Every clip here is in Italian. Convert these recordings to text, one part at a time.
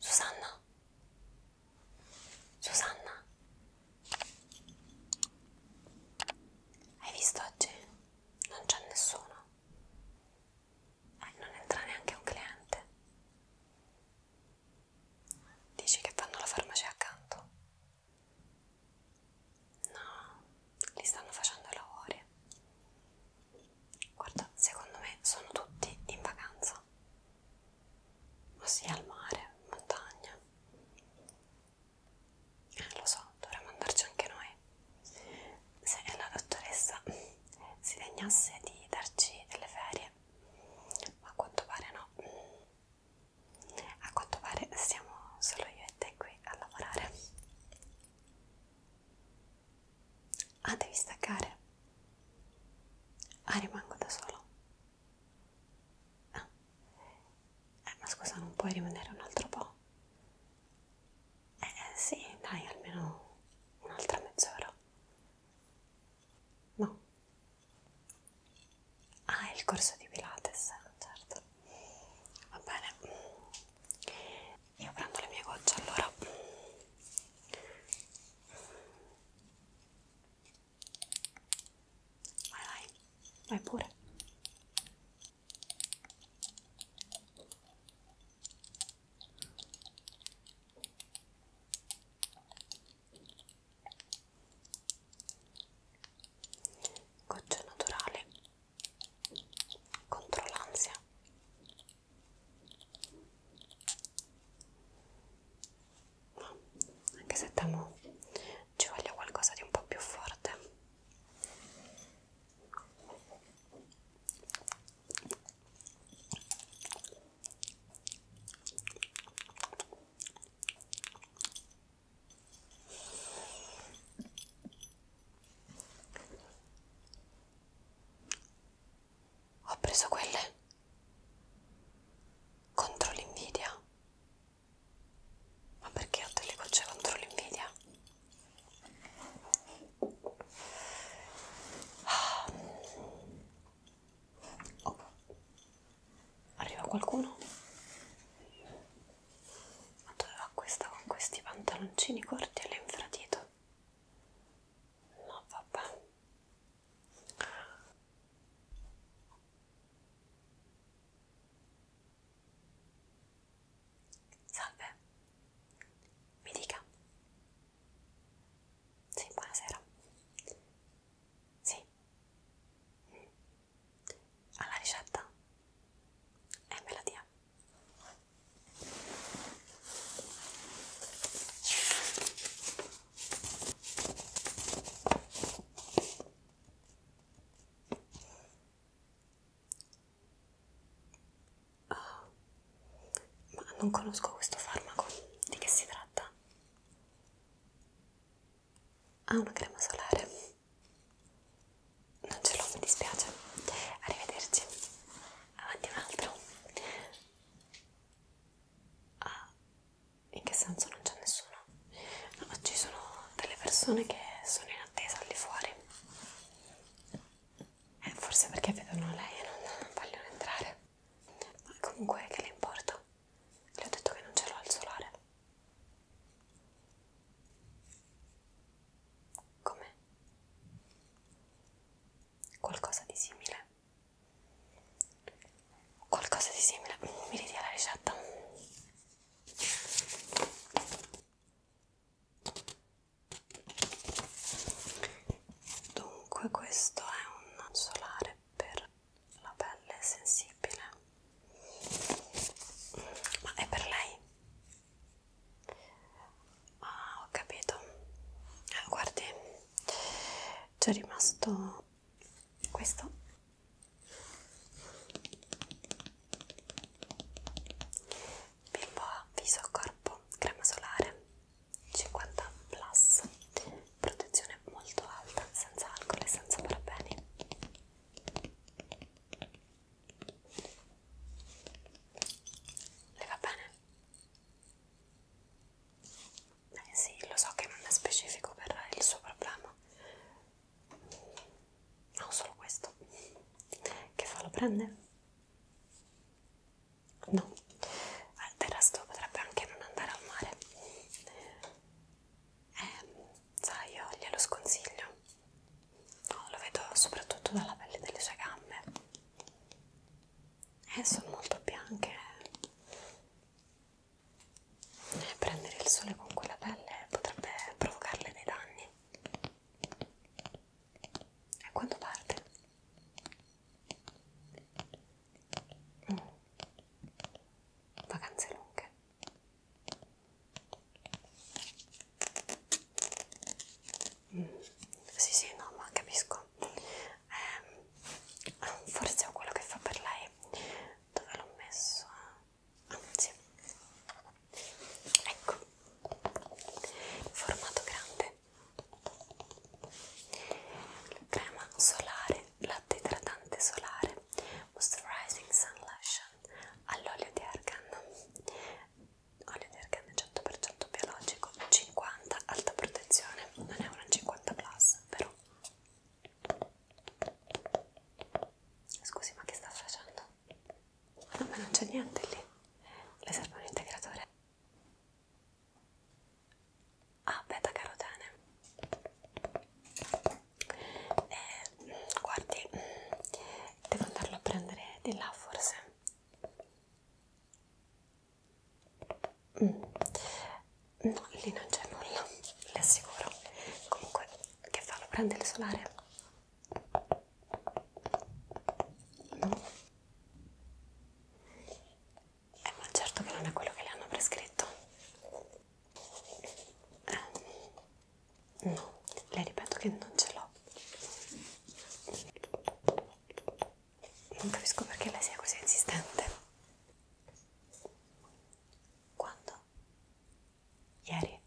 Susanna? Susanna? Hai visto oggi? Non c'è nessuno. Eh, non entra neanche un cliente. Dici che fanno la farmacia accanto. No, li stanno facendo i lavori. Guarda, secondo me sono tutti in vacanza. Ossia al mare, in montagna. Eh, lo so, dovremmo andarci anche noi. Se la dottoressa si degnasse di darci delle ferie, ma a quanto pare no a quanto pare siamo solo io e te qui a lavorare ah devi staccare ah rimango da solo ah. eh, ma scusa non puoi rimanere un altro po' eh, eh sì dai almeno un'altra mezz'ora no Ah, il corso di Pilates, certo. Va bene. Io prendo le mie gocce allora. Vai, vai, vai pure goccia naturale contro l'ansia ma anche se temo ci voglia qualcosa di un po' più forte ho preso quelle contro l'invidia. Ma perché ho delle gocce contro l'invidia? Ah. Oh. Arriva qualcuno? Ma dove va questa con questi pantaloncini corti e l'infradito? No, vabbè. Salve, mi dica. Sì, buonasera. Sì ha la ricetta e me la dia. Oh, ma non conosco questo farmaco, di che si tratta? Ah, una crema solare. Non ce l'ho, mi dispiace. Arrivederci. Avanti un altro. Ah, in che senso non c'è nessuno? No, ci sono delle persone che sono in attesa lì fuori. Eh, forse perché vedono lei e non vogliono entrare. Ma comunque che le importa? Le ho detto che non c'era il solare. Come? Qualcosa di simile. Qualcosa di simile. Mm, mi ridia la ricetta. Dunque questo è un solare per la pelle è sensibile ma è per lei? ah ho capito eh, guardi c'è rimasto questo bimbo viso corpo crema solare 50 plus protezione molto alta, senza alcol e senza parabeni. Le va bene? Eh sì, lo so che non è specifico per il suo problema. No, solo questo. Che fa? Lo prende? No, ah, del resto potrebbe anche non andare al mare eh, sai io glielo sconsiglio no, lo vedo soprattutto dalla pelle delle sue gambe eh, sono molto bianche eh, prendere il sole con quella pelle potrebbe provocarle dei danni e quando parte? Mm. Vacanze lunghe. Mm. Sì, sì, no, ma capisco. Eh, forse ho quello che fa per lei. Dove l'ho messo? Ah, sì. Ecco. Formato grande. Crema solare latte idratante solare, Moisturizing Sun Lotion all'olio di argan, olio di argan 100% biologico, 50 alta protezione, non è una 50 plus però. Scusi ma che sta facendo? No ma non c'è niente lì, le serve un integratore ah beta carotene eh, guardi devo andarlo a prendere di là forse mm. no lì non c'è nulla le assicuro comunque che fa lo prende il solare no eh, ma certo che non è quello che le hanno prescritto. Eh, no, le ripeto che non ce l'ho. Non capisco perché lei sia così insistente. Quando? Ieri?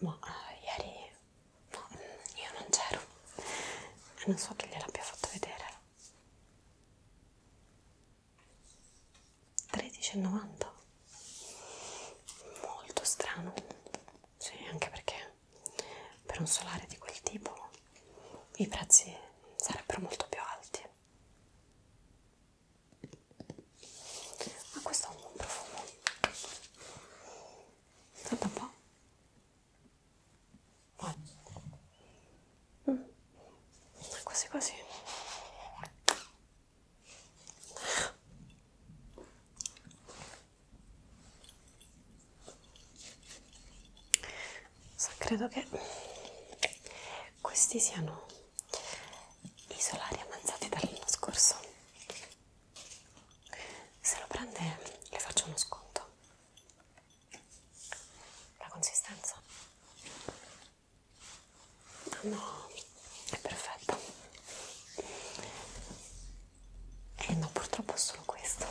Ma uh, ieri no, mm, io non c'ero. Non so chi gliel'abbia fatto vedere. 13,90 molto strano sì anche perché per un solare di quel tipo i prezzi sarebbero molto più alti ma questo ha un buon profumo senta un po' Mm. Quasi quasi. So, credo che questi siano i solari avanzati dall'anno scorso. Se lo prende le faccio uno sconto la consistenza no è perfetta e eh no purtroppo è solo questo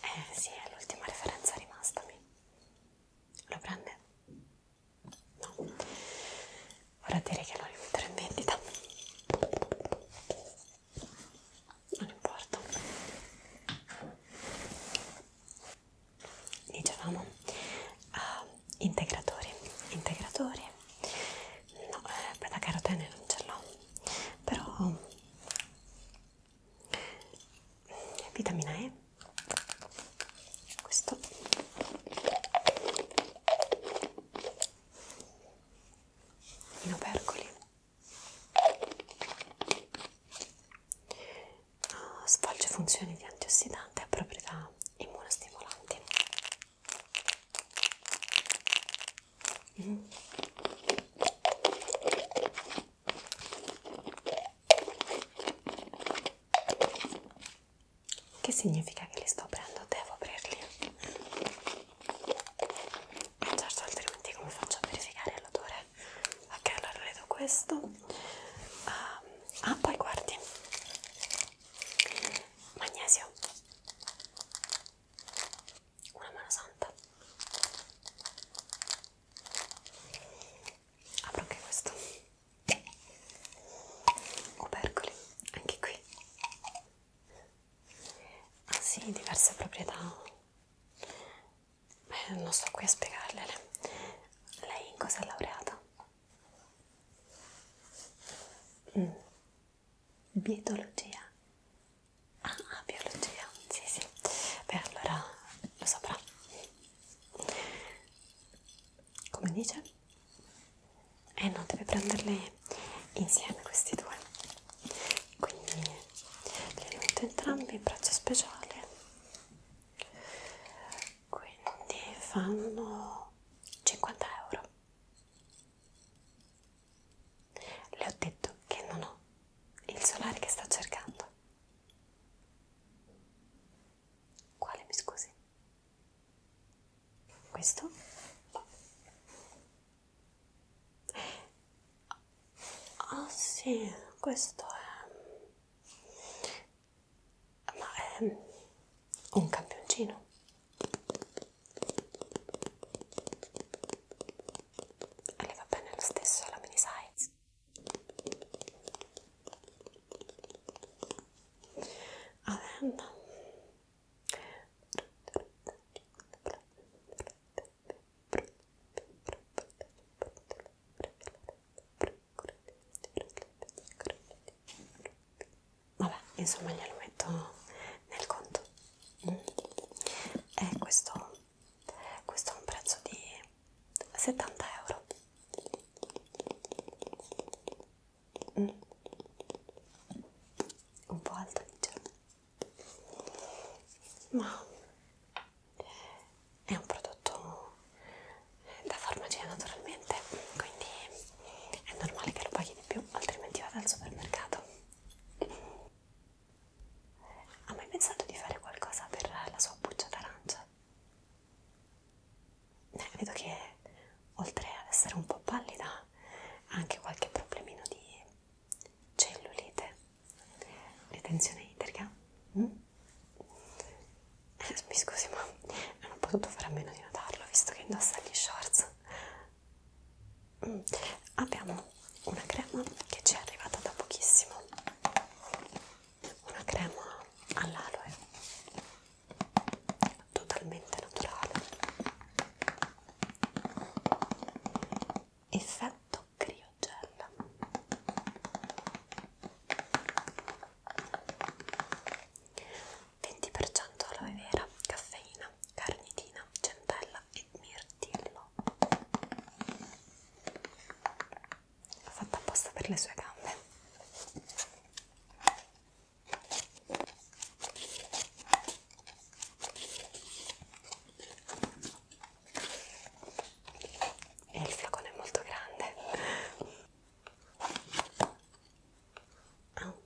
eh sì è l'ultima referenza rimastami lo prende? no vorrà dire che lo rimetterò in vendita non importa dicevamo uh, ah, integratore integratore no eh, beta carotene non ce l'ho però mm, vitamina E questo in opercoli Ah, svolge funzioni di antiossidante e proprietà immunostimolanti. Mm. Che significa che li sto aprendo? Devo aprirli? certo altrimenti come faccio a verificare l'odore ok allora vedo questo um, ah poi guardi magnesio una mano santa apro anche questo opercoli anche qui Ah sì, diverse proprietà. Beh, non sto qui a spiegargliele. Lei in cosa è laureata? Mm. Bietologia. Ah, ah, biologia, sì, sì. Beh, allora lo saprà. Come dice? Eh no, deve prenderle insieme questi due quindi li metto entrambi in braccio speciale quindi fanno 50 euro le ho detto che non ho il solare che sta cercando quale mi scusi questo Ah oh, sì, questo è... Ma è un campioncino. E le va bene lo stesso la mini size. Adenda. Vabbè, insomma glielo metto nel conto. E eh, questo, questo ha un prezzo di 70 euro. Mm un po' alta diciamo ma è un prodotto da farmacia naturalmente quindi è normale che lo paghi di più altrimenti vado al supermercato ha mai pensato di fare qualcosa per la sua buccia d'arancia? Eh, vedo che oltre ad essere un po' pallida ha anche qualche problemino di cellulite, ritenzione idrica. Mm? Eh, mi scusi ma non ho potuto fare a meno di notarlo visto che indossa gli shorts. Mm. Abbiamo una crema che ci è arrivata da pochissimo, una crema all'aloe totalmente naturale effetto criogel venti per cento aloe vera, caffeina, carnitina, centella e mirtillo fatta apposta per le sue gambe e il fiocone è molto grande oh.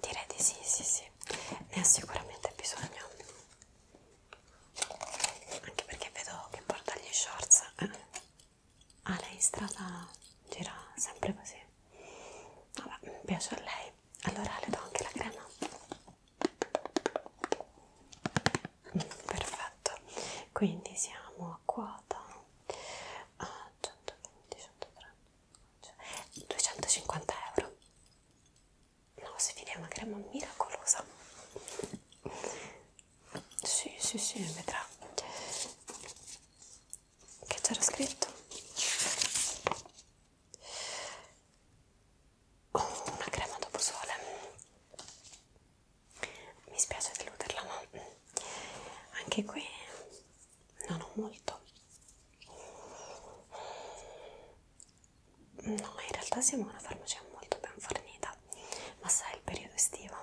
direi di sì sì sì ne ho sicuramente bisogno anche perché vedo che porta gli shorts eh. ah lei in strada gira sempre così Vabbè, piace a lei. Allora le do anche la crema. Mm, perfetto. Quindi siamo a quota a 120, 130, 250 euro. No, se vi è una crema miracolosa. Sì, sì, sì, vedrà che c'era scritto oh, una crema dopo sole mi spiace deluderla ma anche qui non ho molto no in realtà siamo una farmacia molto ben fornita ma sai il periodo estivo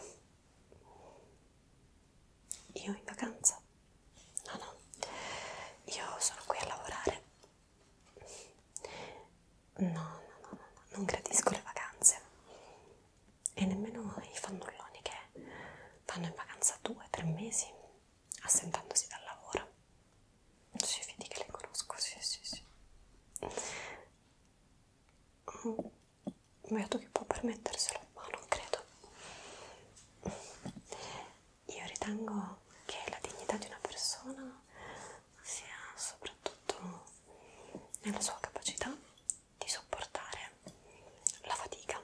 io in vacanza? No, no, io sono qui a lavorare. No, no, no, no, non gradisco le vacanze e nemmeno i fannulloni che vanno in vacanza due, tre mesi assentandosi dal lavoro. Sì, fidi che le conosco, sì, sì, sì vedo che può permetterselo, ma non credo. Io ritengo che la dignità di una persona sia soprattutto nella sua capacità di sopportare la fatica.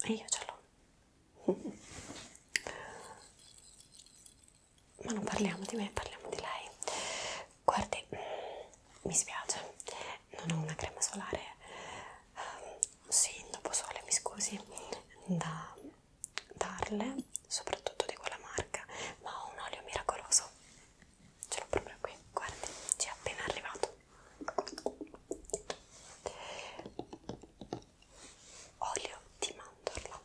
E io ce l'ho. Ma non parliamo di me, parliamo di lei. Guardi, mi spiace, non ho una crema solare, uh, sì, dopo sole mi scusi, da darle, soprattutto di quella marca, ma ho un olio miracoloso, ce l'ho proprio qui, guardi, ci è appena arrivato. Olio di mandorla,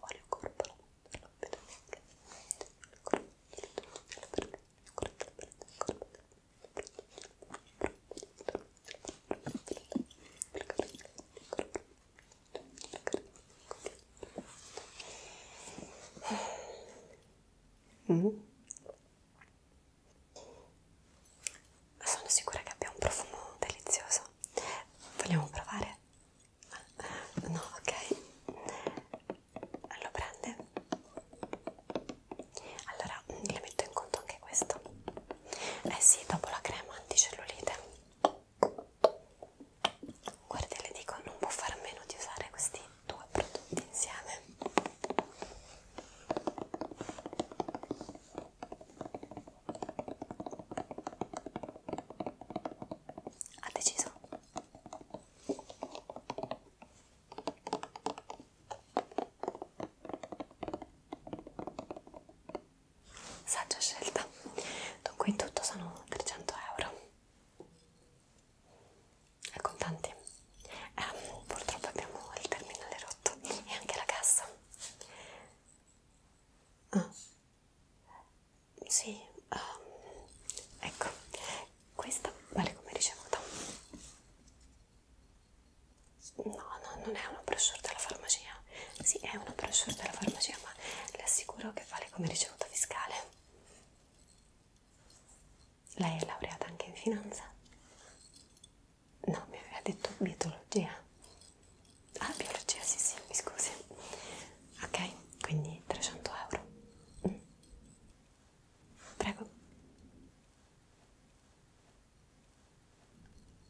olio corporo non vedo neanche il corpo il corpo il corpo il corpo Mm. Ma sono sicura che abbia un profumo delizioso. Vogliamo provare? no ok lo prende allora le metto in conto anche questo eh sì dopo la crema anticellulite guarda le dico non può fare a meno di usare questi due prodotti insieme ha deciso saggia scelta dunque in tutto sono 300 euro e contanti eh, purtroppo abbiamo il terminale rotto e anche la cassa ah sì, um, ecco, questa vale come ricevuta. No, no, non è una brochure della farmacia. Sì, è una brochure della farmacia, ma le assicuro che vale come ricevuta fiscale. Lei è laureata anche in finanza? No, mi aveva detto biologia. Ah, biologia, sì, sì, mi scusi ok quindi 300 euro mm. prego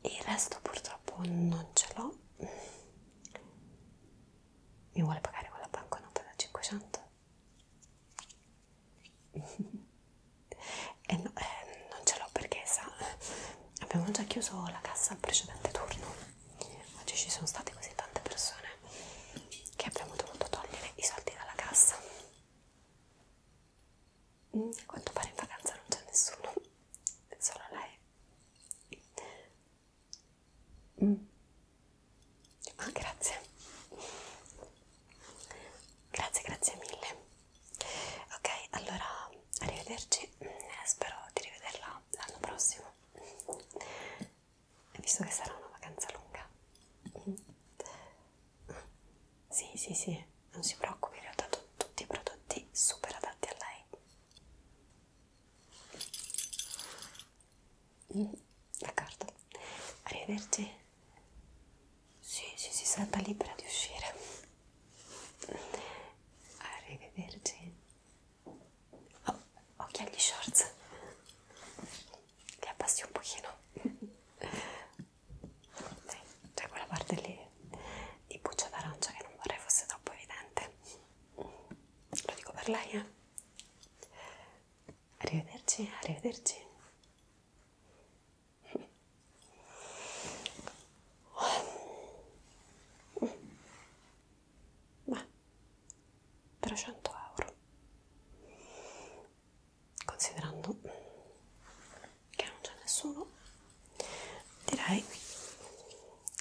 il resto purtroppo non ce l'ho mi vuole pagare con la banconota da 500 eh no, eh, non ce l'ho perché sa abbiamo già chiuso la cassa al precedente turno oggi ci sono state così tante persone che abbiamo dovuto togliere i soldi dalla cassa mm, a quanto pare in vacanza non c'è nessuno solo lei mm. ah grazie grazie grazie mille ok allora arrivederci eh, spero di rivederla sarà l'anno prossimo visto che sarà una vacanza lunga sì sì sì non si preoccupi le ho dato tutti i prodotti super adatti a lei mm, d'accordo arrivederci sì sì sì sarà libera di uscire arrivederci Oh, occhiali shorts li abbassi un pochino Dai, c'è quella parte lì di buccia d'arancia che non vorrei fosse troppo evidente lo dico per lei eh arrivederci arrivederci Beh, 300 euro. Considerando che non c'è nessuno, direi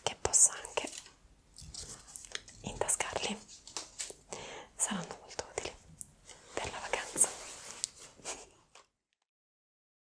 che possa anche intascarli. Saranno molto utili per la vacanza.